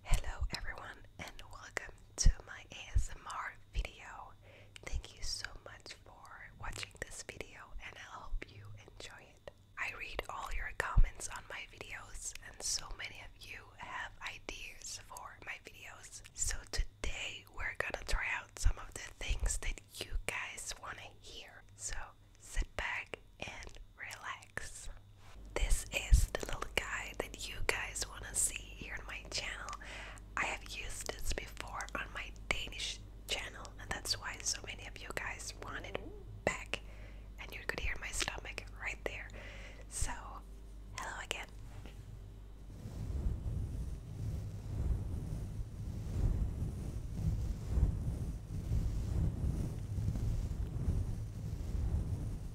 Hello everyone and welcome to my ASMR video. Thank you so much for watching this video and I hope you enjoy it. I read all your comments on my videos and so many of you have ideas for my videos. So today we're gonna try out some of the things that you guys wanna hear. So sit back and relax. This is the little guy that you guys want to see here on my channel. I have used this before on my Danish channel, and that's why so many of you guys want it back. And you could hear my stomach right there. So, hello again.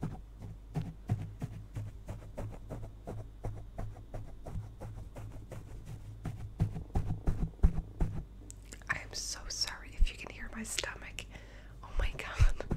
I am so sorry if you can hear my stomach. Oh my god.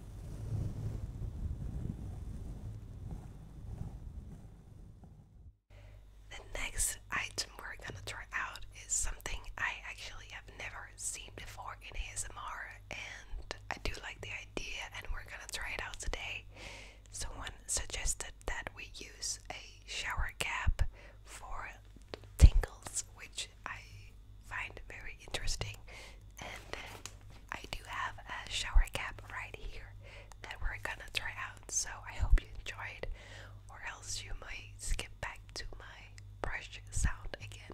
The next item we're gonna try out is something I actually have never seen before in ASMR, and I do like the idea, and we're gonna try it out today. Someone suggested that we use a shower cap for tingles, which I find very interesting. And I do have a shower cap right here that we're gonna try out. So I hope you enjoyed, or else you might skip back to my brush sound again.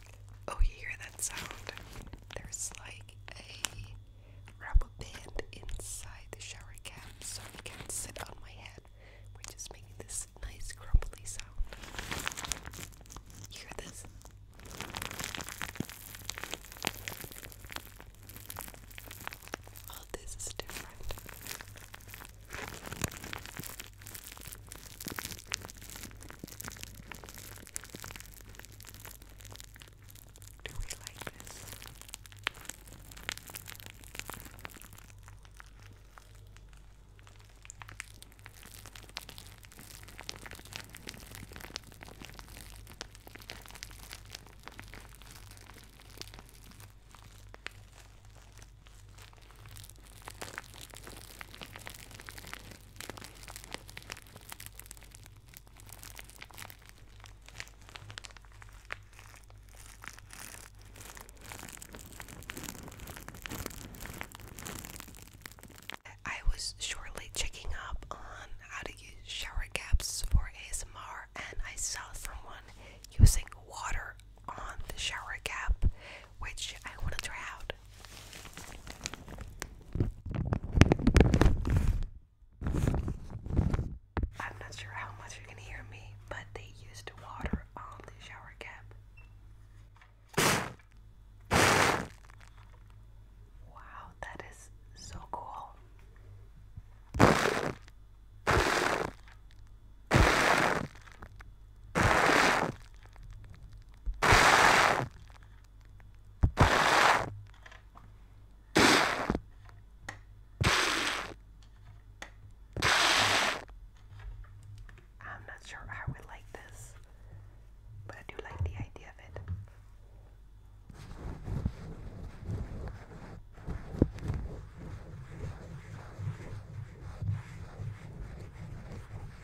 Oh, you hear that sound? There's like a rubber band inside the shower cap so it can sit on my head, which is making this nice crumbly sound. You hear this? Oh, this is different. Do we like this? I was shortly checking up on how to use shower caps for ASMR, and I saw someone using water on the shower cap, which I want to try out. I'm not sure how much you can hear me, but they used water on the shower cap. Wow, that is so cool. I'm not sure I would like this, but I do like the idea of it.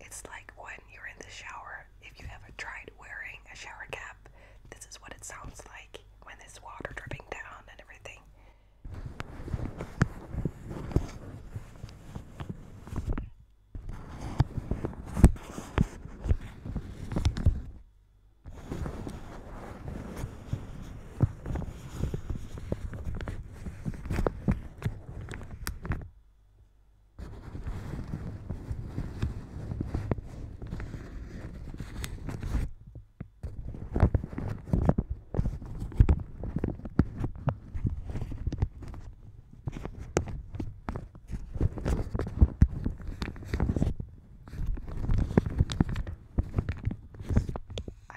It's like when you're in the shower. If you have ever tried wearing a shower cap, this is what it sounds like when there's water dripping down and everything. I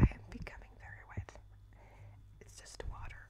am becoming very wet. It's just water.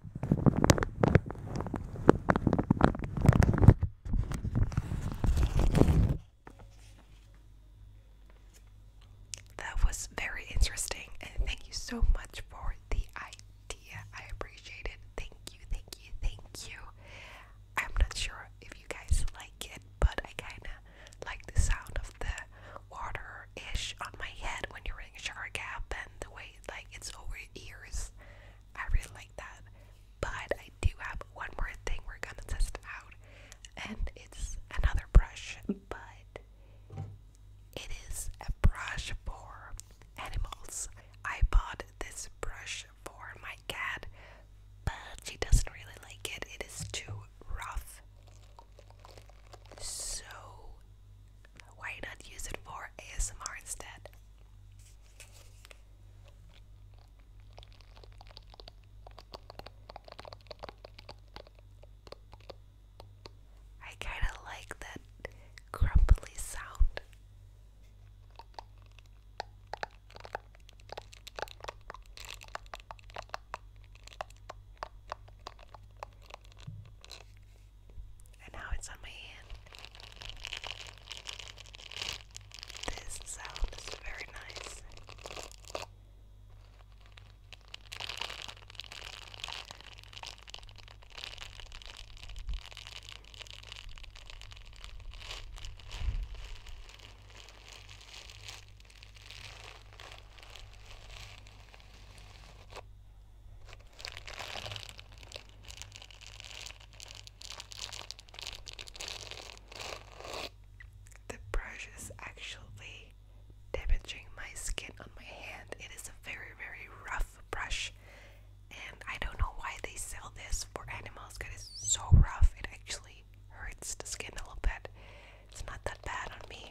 That was very interesting, and thank you so much for the idea. I appreciate it. Thank you, thank you, thank you. I'm not sure if you guys like it, but I kind of like the sound of the water ish on my head when you're wearing a shower cap and the way like it's over ears. I really like that. But I do have one more thing we're gonna test out, and it's another brush, but it is a brush for animals. I bought this brush for my cat, but she doesn't really like it, it is too rough. So why not use it for ASMR instead? I kind of like that crumply sound and now it's on my hand. This sound is very nice. The brush is actually damaging my skin on my hand. It is a very, very rough brush, and I don't know why they sell this for animals it's so rough. It actually hurts the skin a little bit. It's not that bad on me.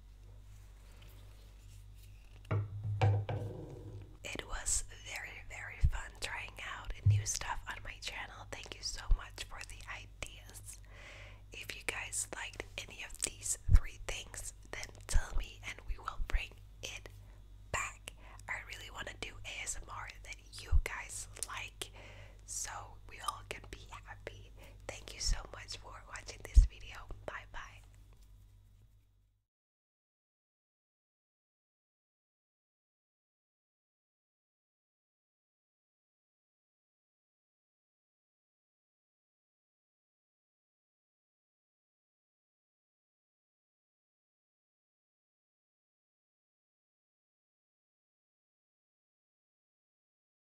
It was very, very fun trying out new stuff on my channel. Thank you so much for the ideas. If you guys liked any of these three things, then tell me and we will bring it back. I really want to do ASMR that you guys like so we all can be happy. Thank you so much for watching this video. Bye bye.